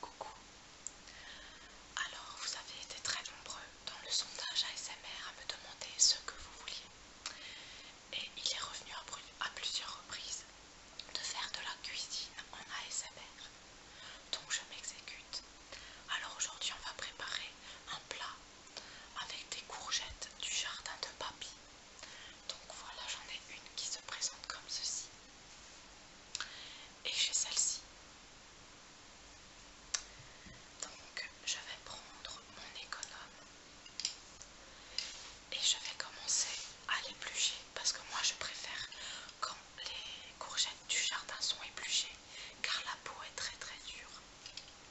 Coucou. Alors, vous avez été très nombreux dans le sondage ASMR à me demander ce que vous vouliez. Et il est revenu à plusieurs reprises de faire de la cuisine en ASMR. Donc je m'exécute. Alors aujourd'hui on va préparer un plat avec des courgettes du jardin de papy. Donc voilà, j'en ai une qui se présente comme ceci. Et j'ai celle-ci. Donc je vais prendre mon économe et je vais commencer à l'éplucher parce que moi je préfère quand les courgettes du jardin sont épluchées car la peau est très très dure.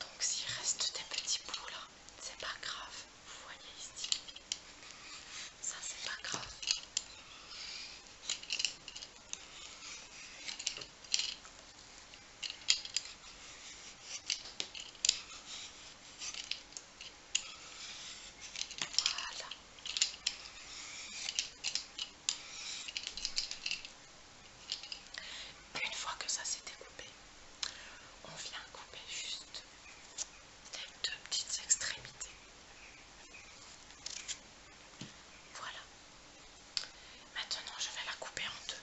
Donc s'il reste des petits bouts là, c'est pas grave, vous voyez ici. Ça c'est pas grave. Une fois que ça s'est découpé, on vient couper juste les deux petites extrémités. Voilà. Maintenant, je vais la couper en deux.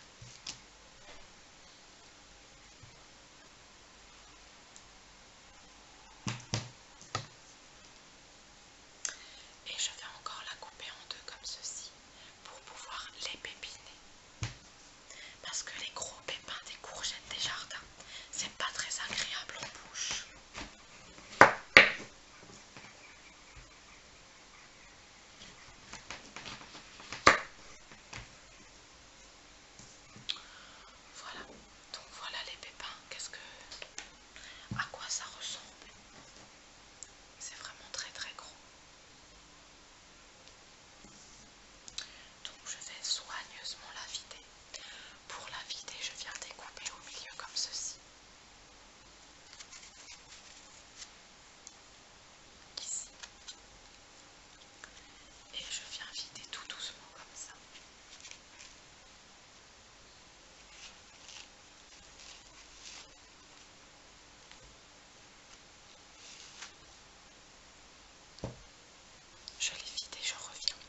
Et je vais encore la couper en deux comme ceci pour pouvoir les pépiner. Parce que les gros pépins des courgettes des jardins, c'est pas très agréable en bouche. Voilà, donc voilà les pépins, qu'est-ce que... à quoi ça ressemble C'est vraiment très très gros. Donc je vais soigneusement la vider. Pour la vider, je viens découper au milieu comme ceci et je viens vider tout doucement comme ça je l'ai vidé, je reviens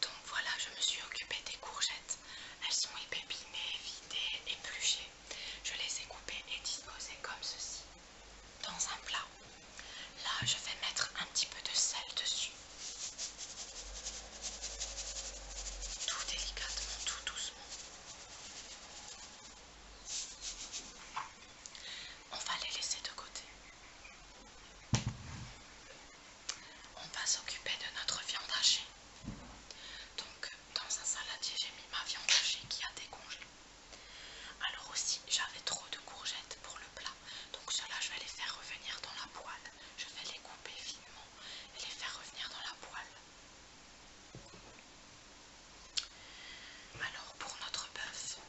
donc voilà, je me suis occupée des courgettes. Elles sont épépinées, vidées, épluchées. Je les ai coupées et disposées comme ceci, dans un plat. Là, je vais mettre un petit peu de sel dessus. Tout délicatement, tout doucement. On va les laisser de côté on va s'occuper de notre viande hachée. Donc dans un saladier j'ai mis ma viande hachée qui a décongelé. Alors aussi j'avais trop de courgettes pour le plat, donc cela je vais les faire revenir dans la poêle. Je vais les couper finement et les faire revenir dans la poêle. Alors pour notre bœuf,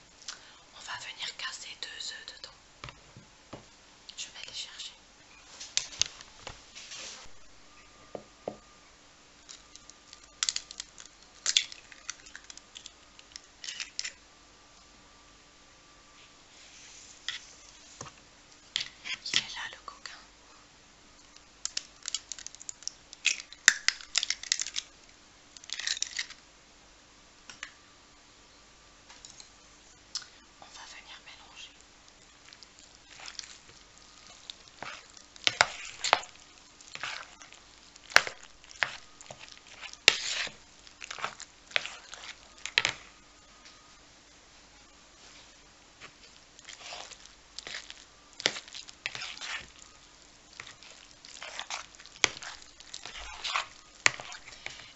on va venir casser deux œufs dedans. Je vais les chercher. Il est là le coquin. On va venir mélanger.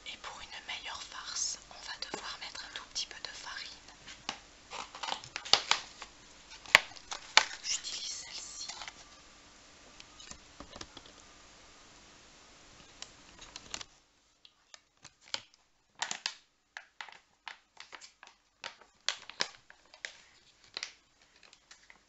Et pour une meilleure farce, on va devoir mettre un tout petit peu de farine. J'utilise celle-ci.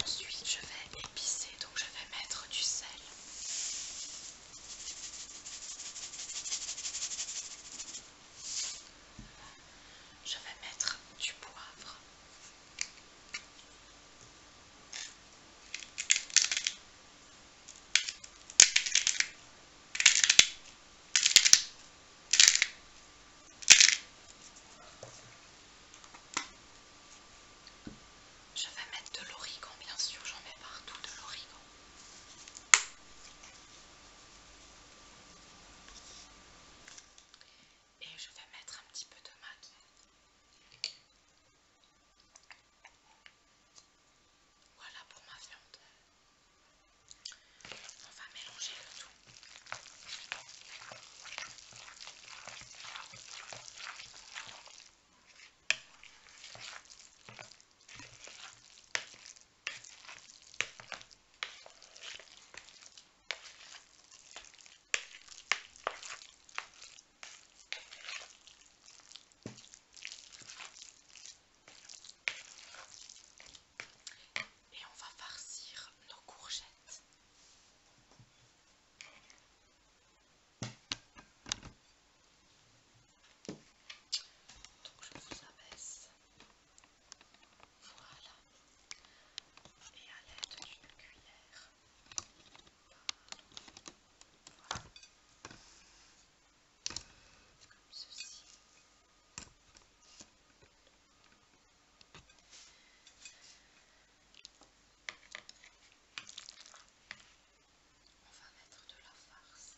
Ensuite, je vais épicer, donc je vais mettre du sel. Je vais mettre du poivre. Je vais mettre de l'origan, bien sûr, j'en mets partout de l'origan. Et je vais mettre un petit peu de maquis. Voilà pour ma viande. On va mélanger le tout. Et on va farcir nos courgettes. Donc je vous abaisse. Voilà. Et à l'aide d'une cuillère, comme ceci. On va mettre de la farce.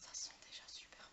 Ça sent déjà super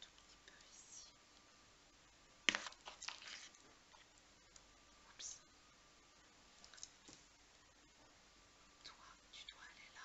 tout petit peu ici. Toi, tu dois aller là.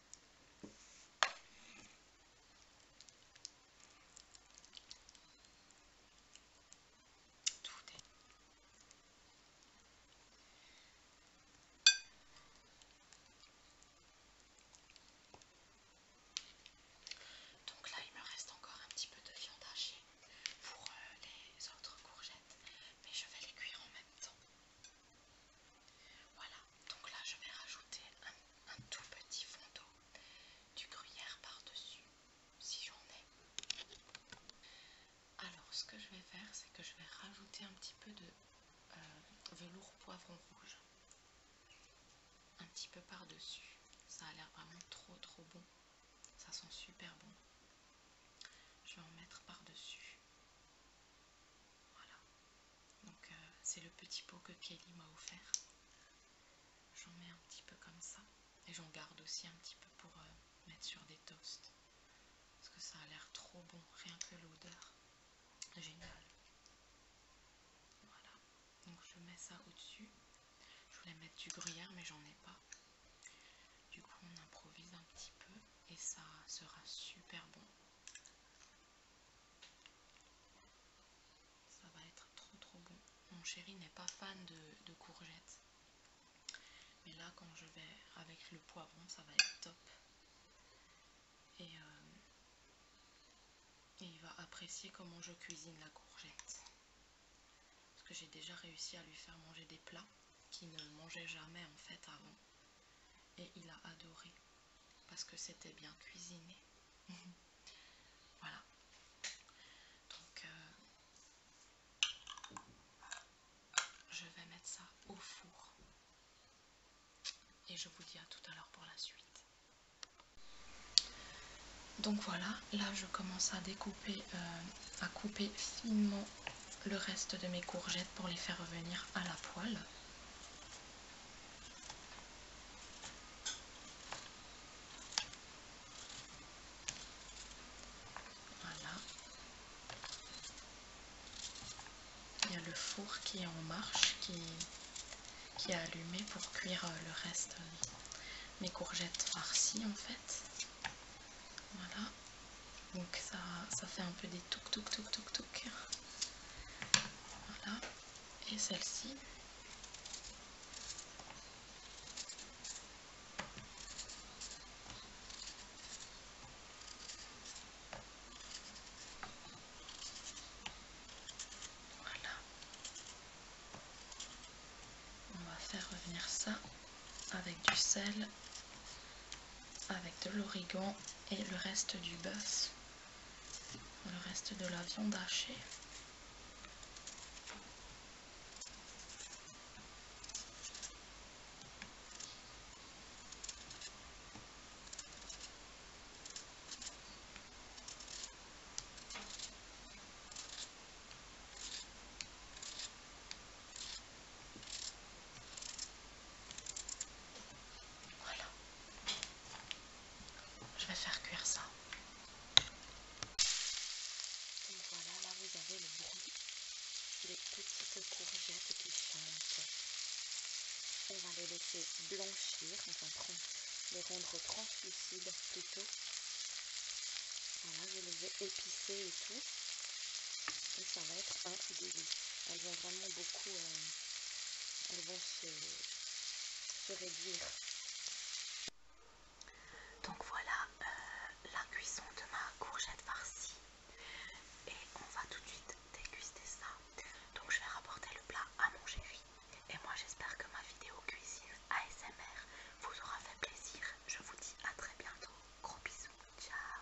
Tout est... Donc là, il me reste encore un petit peu de viande hachée pour euh, les autres courgettes, mais je vais les cuire en même temps. Voilà, donc là je vais rajouter un, tout petit fond d'eau du gruyère par-dessus, si j'en ai. Alors ce que je vais faire, c'est que je vais rajouter un petit peu de euh, velours poivron rouge, un petit peu par-dessus. Ça a l'air vraiment trop trop bon, ça sent super bon. Je vais en mettre par-dessus. Voilà. Donc euh, c'est le petit pot que Kelly m'a offert. J'en mets un petit peu comme ça. Et j'en garde aussi un petit peu pour euh, mettre sur des toasts. Parce que ça a l'air trop bon, rien que l'odeur. Génial. Voilà. Donc je mets ça au-dessus. Je voulais mettre du gruyère mais j'en ai pas. Du coup on improvise un petit peu et ça sera super bon. Ça va être trop trop bon. Mon chéri n'est pas fan de, courgettes. Mais là, quand je vais avec le poivron, ça va être top. Et, euh, et il va apprécier comment je cuisine la courgette. Parce que j'ai déjà réussi à lui faire manger des plats qu'il ne mangeait jamais en fait avant. Et il a adoré parce que c'était bien cuisiné. voilà. Donc euh, je vais mettre ça au four. Et je vous dis à tout à l'heure pour la suite. Donc voilà, là je commence à découper, euh, à couper finement le reste de mes courgettes pour les faire revenir à la poêle. Voilà. Il y a le four qui est en marche, qui, qui est allumé pour cuire euh, le reste, euh, mes courgettes farcies en fait. Voilà donc ça, ça fait un peu des touc touc touc touc voilà et celle-ci voilà on va faire revenir ça avec du sel avec de l'origan et le reste du bœuf, le reste de la viande hachée. Voilà. Je vais faire cuire ça. Donc voilà, là vous avez le bruit les petites courgettes qui chantent. On va les laisser blanchir, on va les rendre translucides plutôt. Voilà, je les ai épicées et tout. Et ça va être un délice. Elles ont vraiment beaucoup euh, elles vont se, réduire. Donc voilà euh, la cuisson de ma courgette farcie et on va tout de suite déguster ça. Donc je vais rapporter le plat à mon chéri et moi j'espère que ma vidéo cuisine ASMR vous aura fait plaisir. Je vous dis à très bientôt. Gros bisous. Ciao.